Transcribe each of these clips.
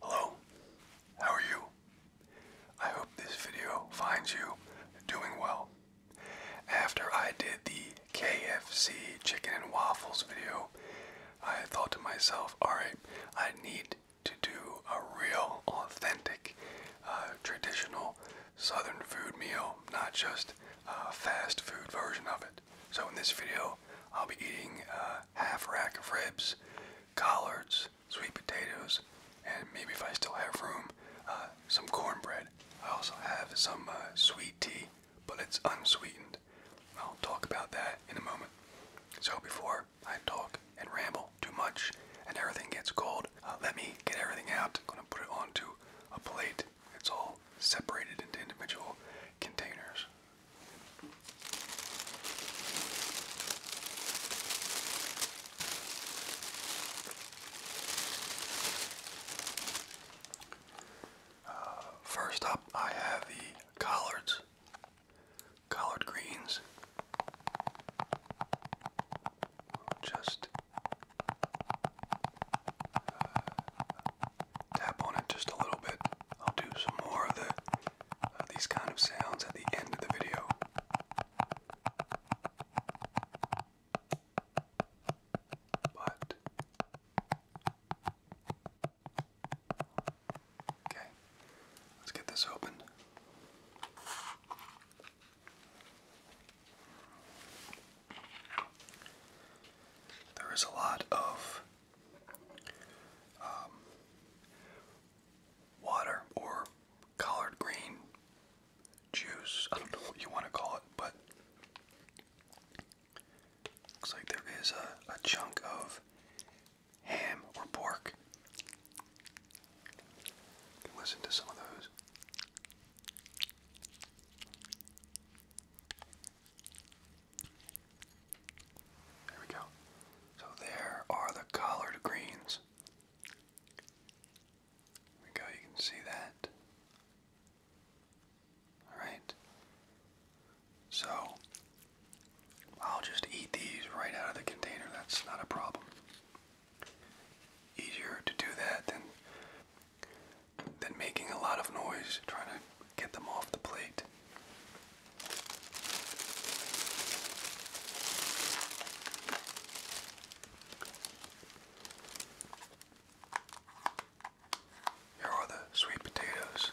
Hello, how are you? I hope this video finds you doing well. After I did the KFC chicken and waffles video, I thought to myself, alright, I need to do a real, authentic, uh, traditional southern food meal, not just a fast food version of it. So in this video, I'll be eating uh, half rack of ribs, collards, sweet potatoes, and maybe if I still have room, uh, some cornbread. I also have some uh, sweet tea, but it's unsweetened. I'll talk about that in a moment. So before I talk and ramble too much and everything gets cold, uh, let me get everything out. I'm gonna put it onto a plate. It's all separated into individual containers first up, I have the collards, collard greens. Just uh, tap on it just a little bit. I'll do some more of the these kind of sounds at the end of the video. But okay, let's get this open. There is a lot of um, water or collard green juice. I don't know what you want to call it, but looks like there is a, chunk of ham or pork. listen to some of those. There we go. So there are the collard greens. There we go, you can see that. Alright. So, I'll just eat these right out of the container. That's not a problem. Easier to do that than than making a lot of noise trying to get them off the plate. Here are the sweet potatoes.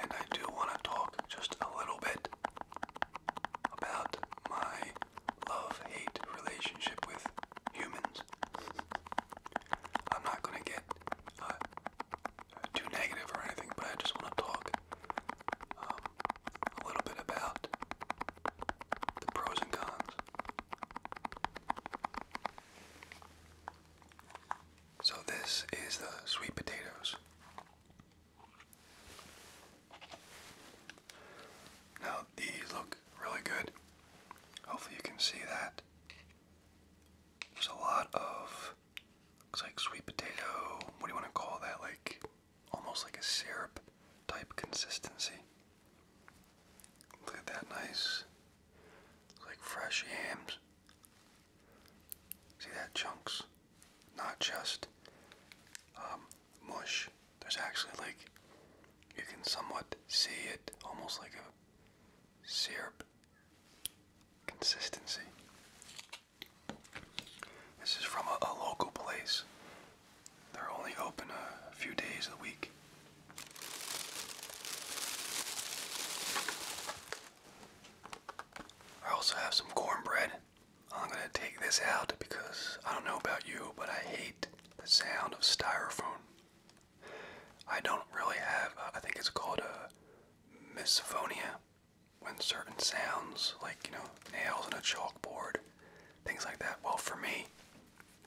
And I do want to talk just a little bit about my love hate relationship with humans. I'm not gonna get uh, too negative or anything, but I just want to talk um, a little bit about the pros and cons. So this is the sweet potatoes. Now these look really good. Hopefully you can see that. There's a lot of looks like sweet potato, what do you want to call that? Like almost like a syrup type consistency. Look at that nice like fresh yams. See that chunks? Not just um, mush. There's actually like you can somewhat see it almost like a syrup consistency. This is from a, local place. They're only open a few days a week. I also have some cornbread. I'm gonna take this out because I don't know about you, but I hate the sound of styrofoam. I don't really have, uh, I think it's called a uh, misophonia when certain sounds, like, you know, nails on a chalkboard, things like that. Well, for me,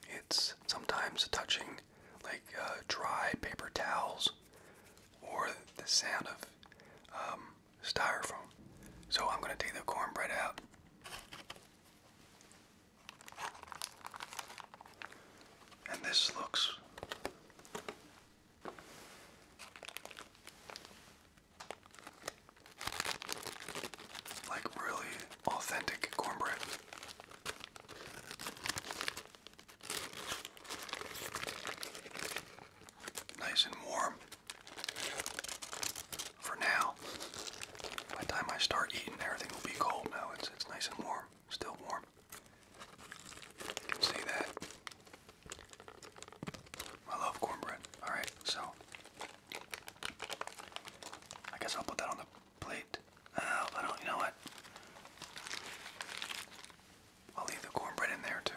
it's sometimes touching, like, uh, dry paper towels or the sound of um, styrofoam. So I'm going to take the cornbread out. And this looks like really authentic cornbread. Nice and warm for now. By time I start eating, everything will be cold now. It's, it's nice and warm, still warm. You can see that. I love cornbread. Alright, so. I guess I'll put that on the plate. Uh, I don't, you know what? I'll leave the cornbread in there too.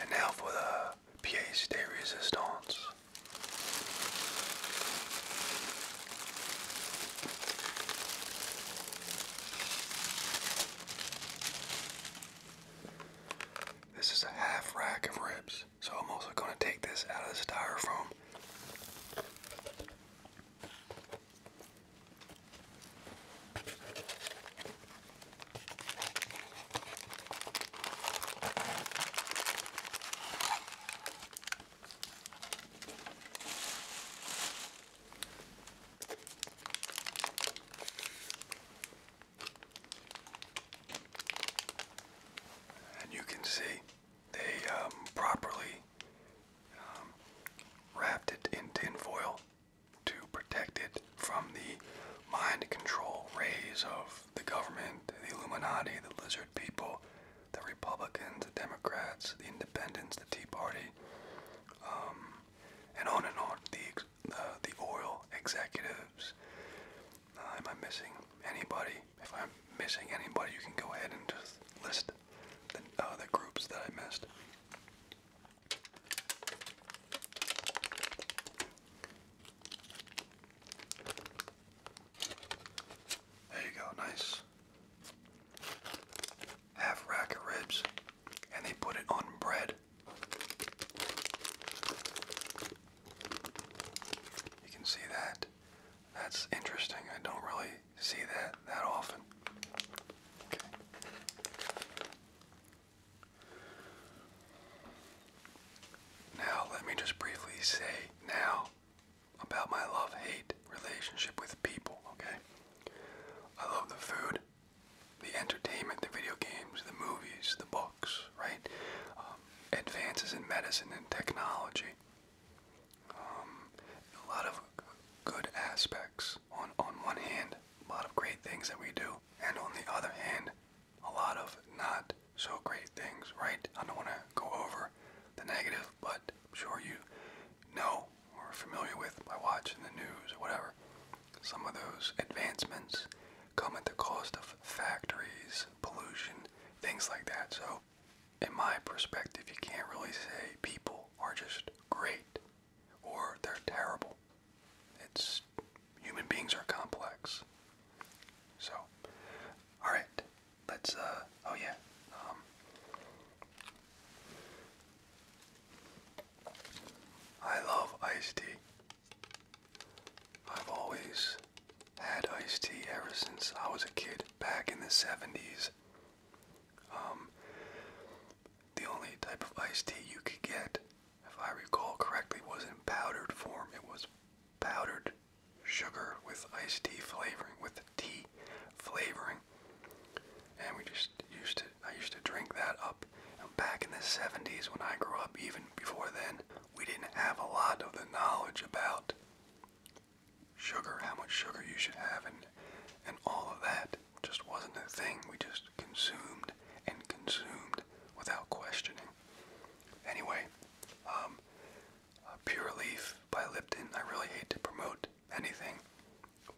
And now for the pièce résistance. This is a half rack of ribs, so I'm also going to take this out of the styrofoam. And you can see they um, properly um, wrapped it in tin foil to protect it from the mind control rays of the government, the Illuminati, the lizard people, the Republicans, the Democrats, the Independents, the Tea Party, um, and on and on. The the oil executives. Uh, am I missing anybody? If I'm missing anybody, you can go ahead and just list the, other uh, groups that I missed. There you go, nice. Half rack of ribs, and they put it on bread. You can see that. That's interesting. I don't really see that that often. Now, let me just briefly say now about my love hate relationship with people, okay? I love the food, the entertainment, the video games, the movies, the books, right? Um, advances in medicine and technology. Um, a lot of good aspects on, on one hand, a lot of great things that we do, and on the other hand, a lot of not so great things, right? I don't want to go over the negative, but I'm sure you know or familiar with by watching the news or whatever. Some of those advancements come at the cost of factories, pollution, things like that. So, in my perspective, you can't really say people are just great or they're terrible. It's human beings are complex. So, all right, let's. Uh, oh yeah. Um, I love iced tea. I've always had iced tea ever since I was a kid back in the 70s. Um, the only type of iced tea you could get if I recall correctly, was in powdered form. It was powdered sugar with iced tea flavoring, with tea flavoring. And we just used to, I used to drink that up. And back in the 70s, when I grew up, even before then, we didn't have a lot of the knowledge about sugar, how much sugar you should have, and, and all of that. Just wasn't a thing. We just consumed and consumed without questioning. Anyway, um, Pure Leaf by Lipton. I really hate to promote anything,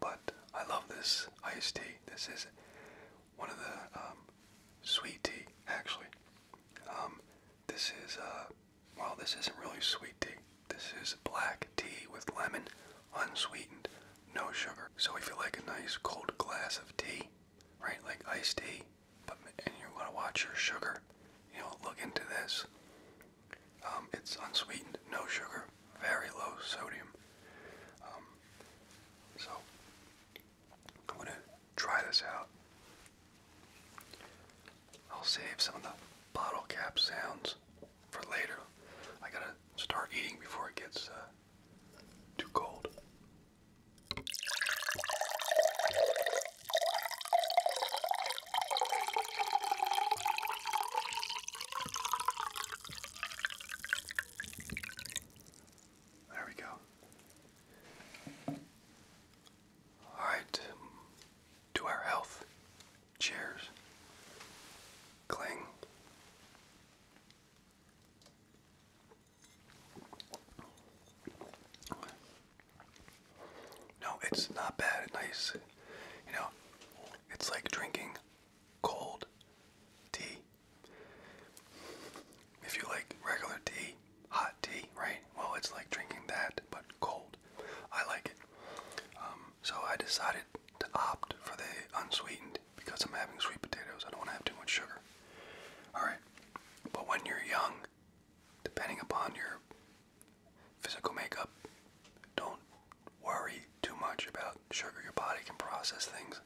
but I love this iced tea. This is one of the um, sweet tea, actually. Um, this is, uh, well, this isn't really sweet tea. This is black tea with lemon, unsweetened, no sugar. So if you like a nice cold glass of tea, right? Like iced tea, but and you want to watch your sugar. You know, look into this. Um, it's unsweetened, no sugar, very low sodium. Um, so I'm gonna try this out. I'll save some of the bottle cap sounds for later. I gotta start eating before it gets uh, too cold. There we go. All right, to our health. Cheers. Cling. No, it's not bad. Nice. You know, it's like drinking cold tea. If you like regular tea, hot tea, right? Well, it's like drinking that, but cold. I like it. Um, so I decided to opt for the unsweetened because I'm having sweet potatoes. I don't want to have too much sugar. Alright. But when you're young, depending upon your physical makeup, don't worry too much about sugar. Your body can process things.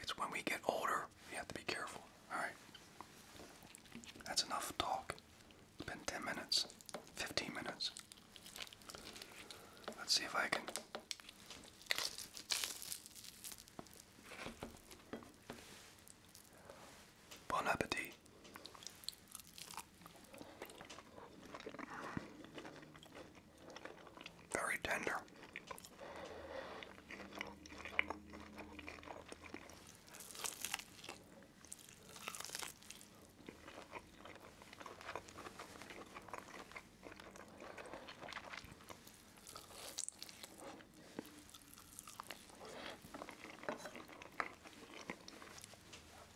It's when we get older, we have to be careful. Alright. That's enough talk. It's been 10 minutes, 15 minutes. Let's see if I can Bon appetit. Very tender.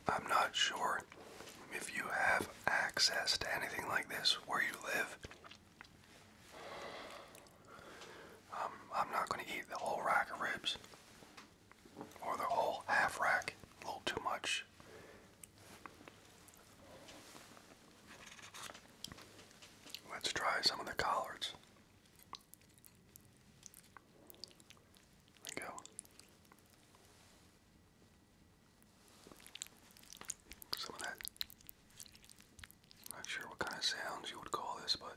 I'm not sure if you have access to anything like this where you live. Um, I'm not going to eat the whole rack of ribs or the whole half rack, a little too much. Let's try some of the collards. go. Some of that. Not sure what kind of sounds you would call this, but.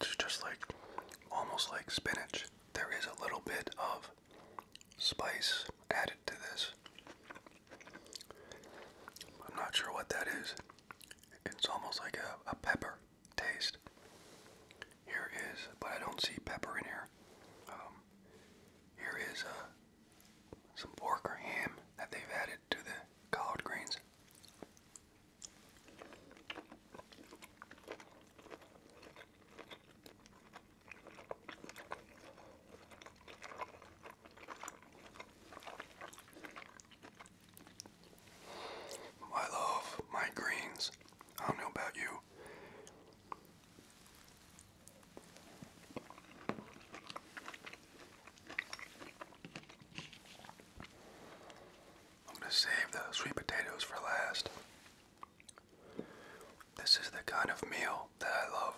It's just like almost like spinach. There is a little bit of spice added to this. I'm not sure what that is. It's almost like a, a pepper taste. Here is, but I don't see pepper in here. Um, here is uh, some pork or ham that they've added to the collard greens. I love my greens. I don't know about you. I'm going to save the sweet potatoes for last. This is the kind of meal that I love.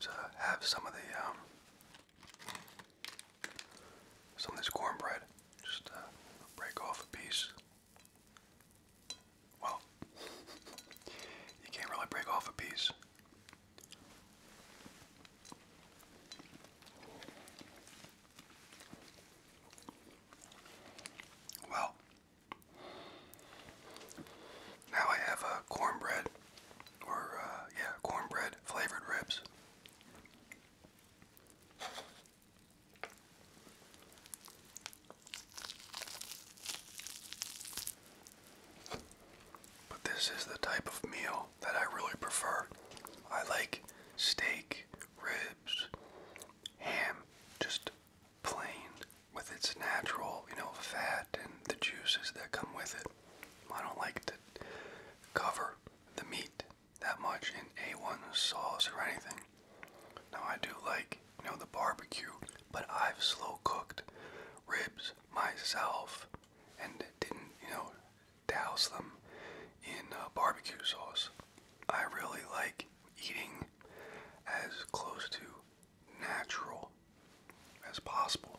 So have some of the um, some of this cornbread. Just uh, break off a piece. Well, you can't really break off a piece. Well, now I have a uh, cornbread, or uh, yeah, cornbread flavored ribs. But this is the type of meal that I really prefer. I like steak, ribs, ham, just plain with its natural, you know, fat and the juices that come with it. I don't like to cover the meat that much in A1 sauce or anything. Now I do like, you know, the barbecue, but I've slow cooked ribs myself and didn't, you know, douse them in uh, barbecue sauce. I really like eating as close to natural as possible.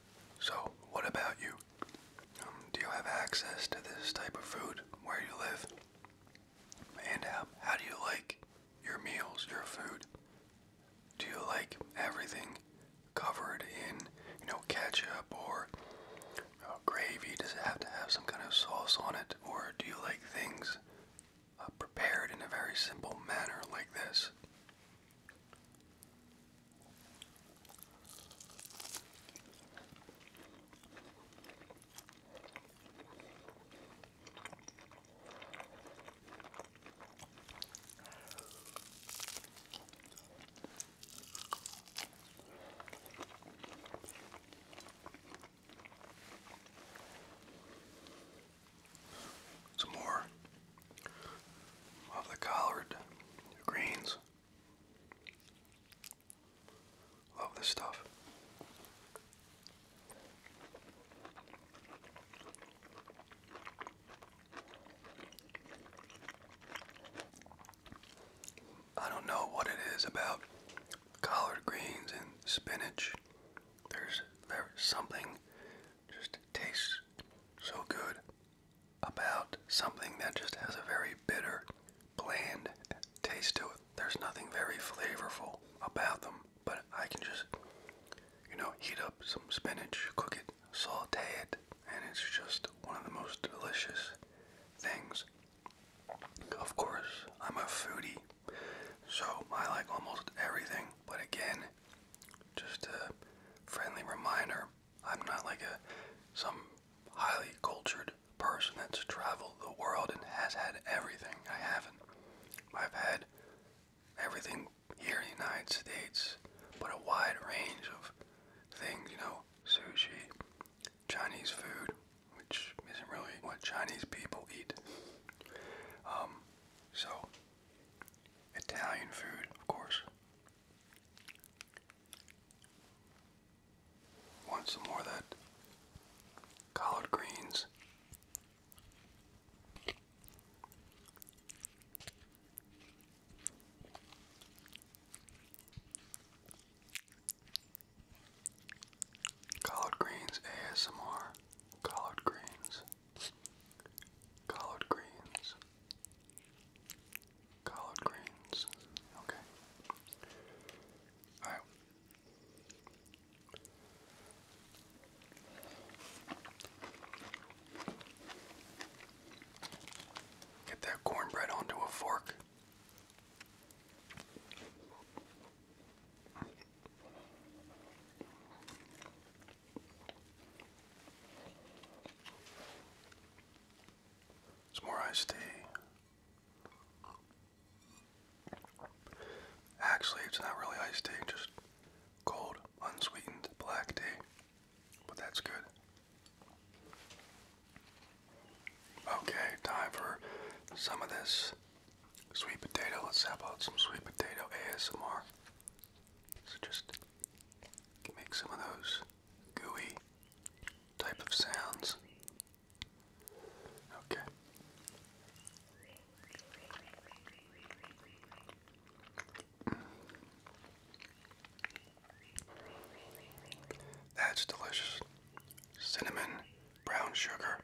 So, what about you? Um, do you have access to this type of food where you live? And how do you like your meals, your food? Do you like everything covered in, you know, ketchup or gravy? Does it have to have some kind of sauce on it? Or do you like things uh, prepared in a very simple manner like this? Some more of the collard greens. Love this stuff. I don't know what it is about collard greens and spinach. there's something just tastes so good about something that just has a very bitter, bland taste to it. There's nothing very flavorful about them, but I can just, you know, heat up some spinach, cook it, saute it, and it's just one of the most delicious things. Of course, I'm a foodie, so I like almost everything, but again, just a friendly reminder I'm not like a some highly cultured person that's traveled the world and has had everything. I haven't. I've had everything here in the United States, but a wide range of things, you know, sushi, Chinese food, which isn't really what Chinese people eat. Um, so, Italian food, of course, Want some more of that collard greens? Collard greens ASMR. Collard greens. Collard greens. Collard greens. Okay. All right. Get that cornbread onto a fork. It's more iced tea. Actually, it's not really iced tea, just cold, unsweetened black tea. But that's good. Okay, time for some of this sweet potato. Let's have some sweet potato ASMR. So just make some of those gooey type of sounds. Okay. That's delicious. Cinnamon, brown sugar.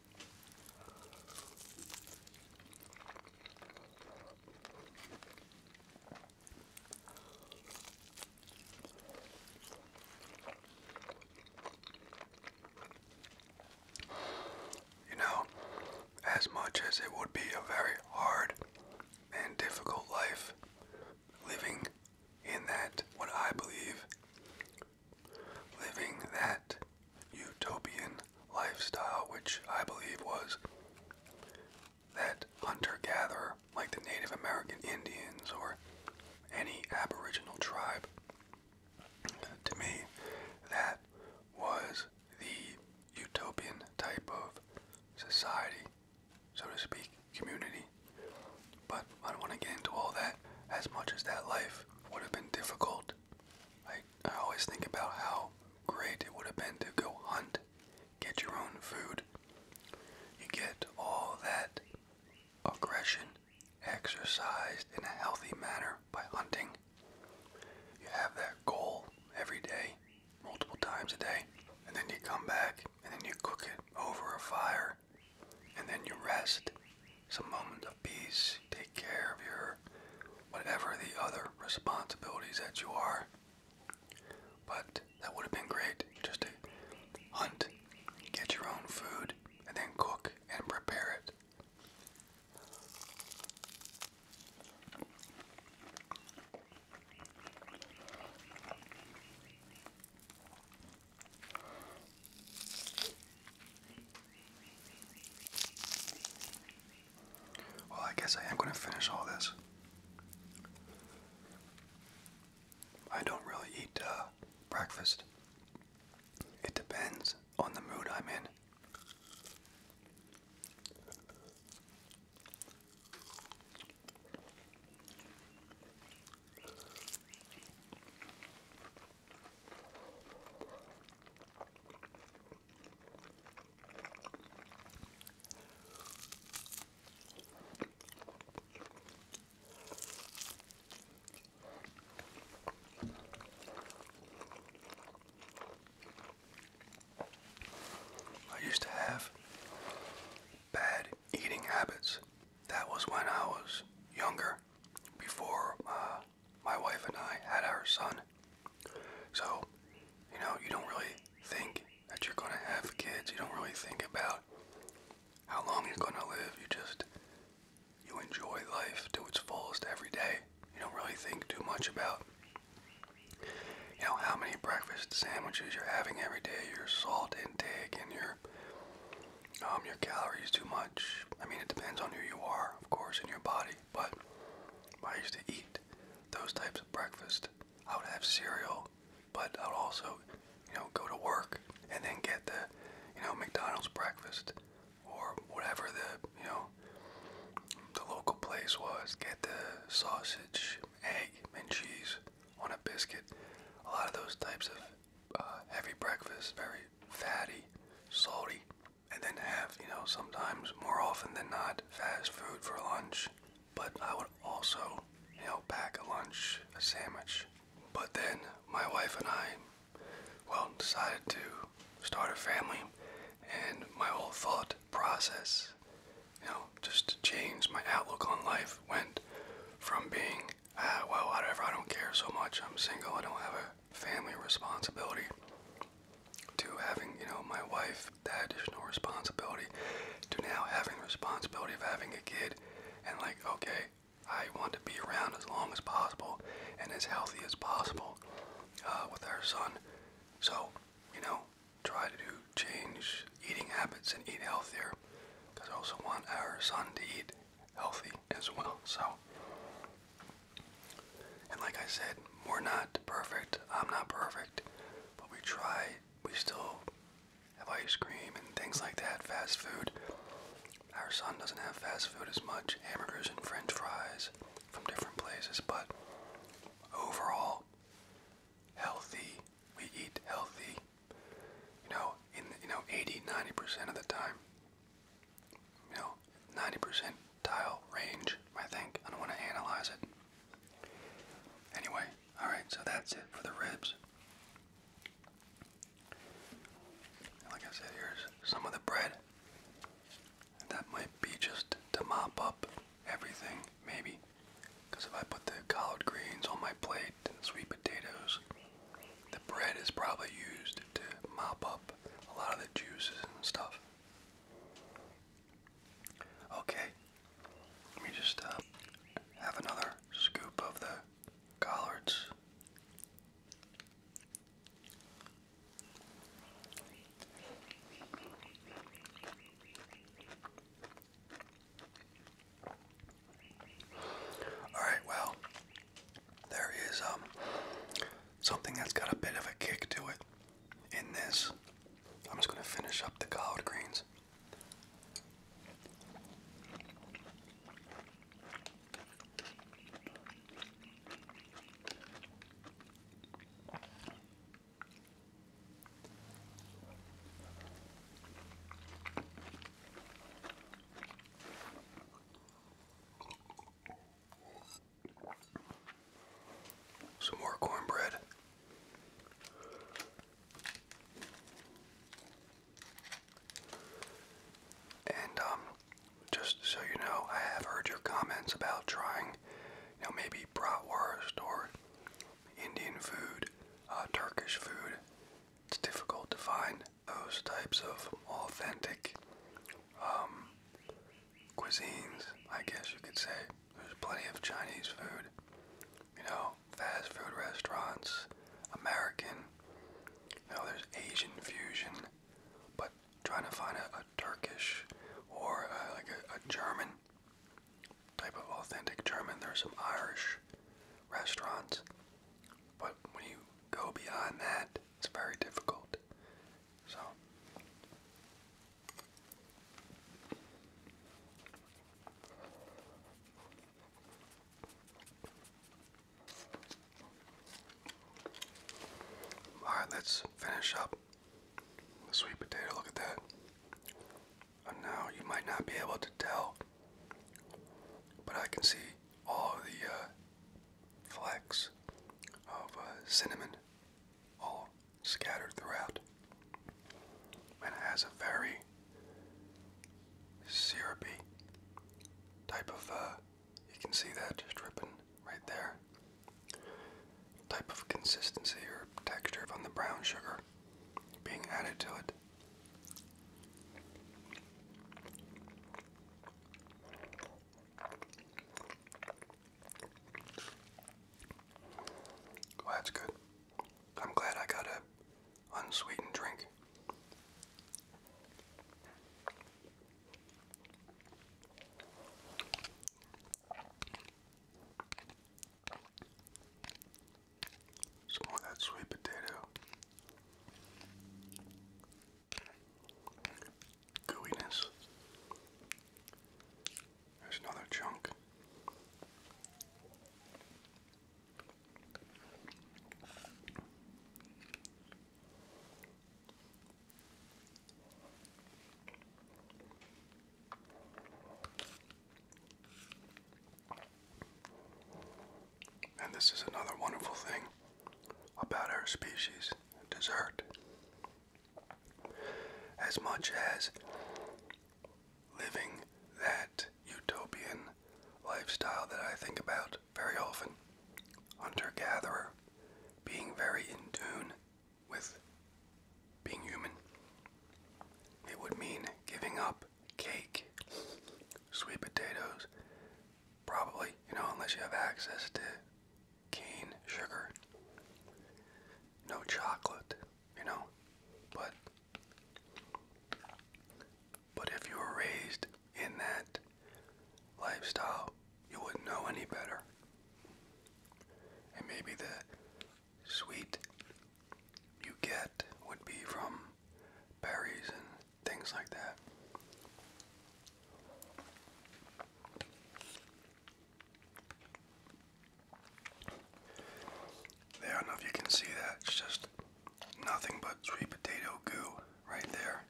You know, as much as it would be a very hard and difficult life living in that, what I believe, living that utopian lifestyle, which I believe was that hunter gatherer, like the Native American Indians or any Aboriginal tribe. To me, that was the utopian type of society, so to speak, community. But I don't want to get into all that as much as that life would have been difficult. I I always think about how great it would have been to go hunt, get your own food. You get all that aggression exercised in a healthy manner by hunting. You have that goal every day, multiple times a day, and then you come back and then you cook it over a fire, and then you rest. Some moment peace. Take care of your whatever the other responsibilities that you are. But that would have been great just to hunt, get your own food, and then cook and prepare it. Well, I guess I am going to finish all this. I don't really eat uh, breakfast. It depends on the mood I'm in. I used to have bad eating habits. That was when I was younger, before uh, my wife and I had our son. So, you know, you don't really think that you're going to have kids. You don't really think about how long you're going to live. You just, you enjoy life to its fullest every day. You don't really think too much about, you know, how many breakfast sandwiches you're having every day, your salt intake, and your um, your calories too much. I mean, it depends on who you are, of course, in your body but I used to eat those types of breakfast. I would have cereal, but I would also, you know, go to work and then get the, you know, McDonald's breakfast or whatever the, you know, the local place was. Get the sausage, egg, and cheese on a biscuit. A lot of those types of uh, heavy breakfast, very fatty, salty, and then have, you know, sometimes more often than not, fast food for lunch. But I would also, you know, pack a lunch, a sandwich. But then my wife and I, well, decided to start a family, and my whole thought process, you know, just to change my outlook on life went from being, ah, well, whatever, I don't care so much, I'm single, I don't have a family responsibility to having, you know, my wife, that additional responsibility to now having responsibility of having a kid and like, okay, I want to be around as long as possible and as healthy as possible uh, with our son. So, you know, try to change eating habits and eat healthier because I also want our son to eat healthy as well. So, and like I said, we're not perfect. I'm not perfect. But we try. We still have ice cream and things like that, fast food. Our son doesn't have fast food as much, hamburgers and french fries from different places, but overall, healthy. We eat healthy. You know, in you know 80, 90% of the time you know, 90 percentile range, I think. I don't want to analyze it. Anyway, alright, so that's it for the ribs. Like I said, here's some of the bread. That might be just to mop up everything, maybe. Because if I put the collard greens on my plate and sweet potatoes, the bread is probably used to mop up a lot of the juices and stuff. Okay, let me just uh, have another scoop of the collards. All right, well, there is um something that's got a bit of a kick to it. In this, I'm just going to finish up the collard greens. Some more cornbread. And um, just so you know, I have heard your comments about trying, you know, maybe bratwurst or Indian food, uh, Turkish food. It's difficult to find those types of authentic um, cuisines, I guess you could say. There's plenty of Chinese food, you know, fast food restaurants, American, you know, there's Asian fusion, but trying to find a, Turkish or uh, like a German type of authentic German. There's some Irish restaurants, but when you go beyond that, it's very difficult. So all right, let's finish up the sweet potato. Look at that. now you might not be able to tell, but I can see all the uh, of uh, cinnamon all scattered throughout. And it has a very syrupy type of, uh, you can see that dripping right there, type of consistency or texture from the brown sugar being added to it that's good. I'm glad I got a unsweetened drink. Some of that sweet potato gooiness. There's another chunk. And this is another wonderful thing about our species dessert as much as living that utopian lifestyle that I think about very often. Hunter gatherer, being very in tune with being human. It would mean giving up cake, sweet potatoes, probably, you know, unless you have access to cane sugar. No chocolate, you know. But but if you were raised in that lifestyle, you wouldn't know any better. And maybe the sweet you get would be from berries and things like that. I don't know if you can see that. It's just nothing but sweet potato goo right there.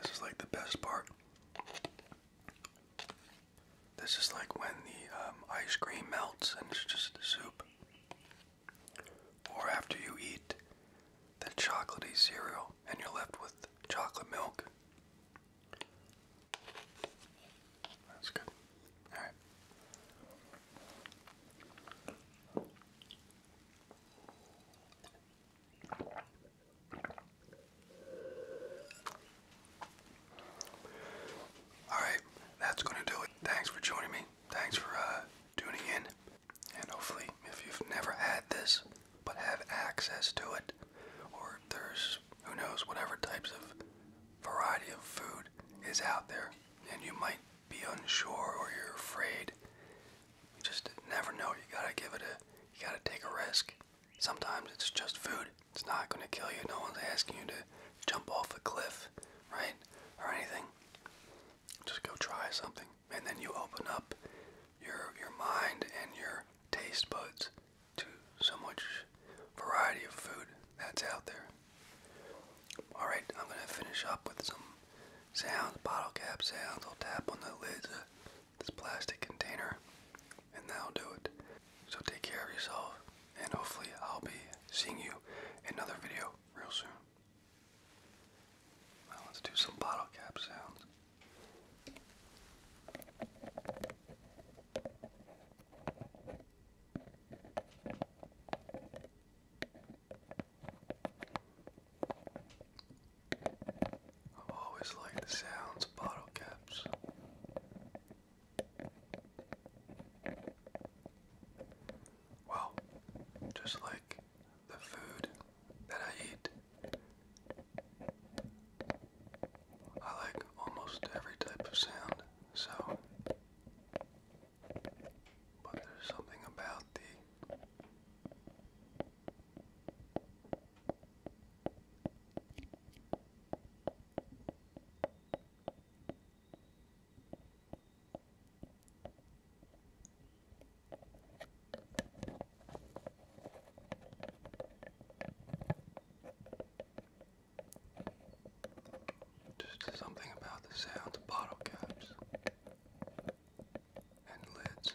This is like the best part. This is like when the um, ice cream melts and it's just soup. Or after you eat the chocolatey cereal and you're left with chocolate milk. That's good. All right. All right, that's going to do it. Thanks for joining me. Thanks for uh, tuning in. And hopefully, if you've never had this, but have access to it, or there's who knows whatever types of variety of food is out there, and you might be unsure or you're afraid. You just never know. You gotta give it a, you gotta take a risk. Sometimes it's just food. It's not gonna kill you. No one's asking you to jump off a cliff, right, or anything. Just go try something and then you open up your your mind and your taste buds to so much variety of food that's out there. All right, I'm gonna finish up with some sounds, bottle cap sounds. I'll tap on the lids of uh, this plastic container, and that'll do it. So take care of yourself, and hopefully I'll be seeing you in another video real soon. let's do some bottle cap sounds. I've always liked the sounds of bottle caps. Well, just like the food that I eat. I like almost every type of sound, so. But there's something about the. Just something about the sound of bottle caps and lids.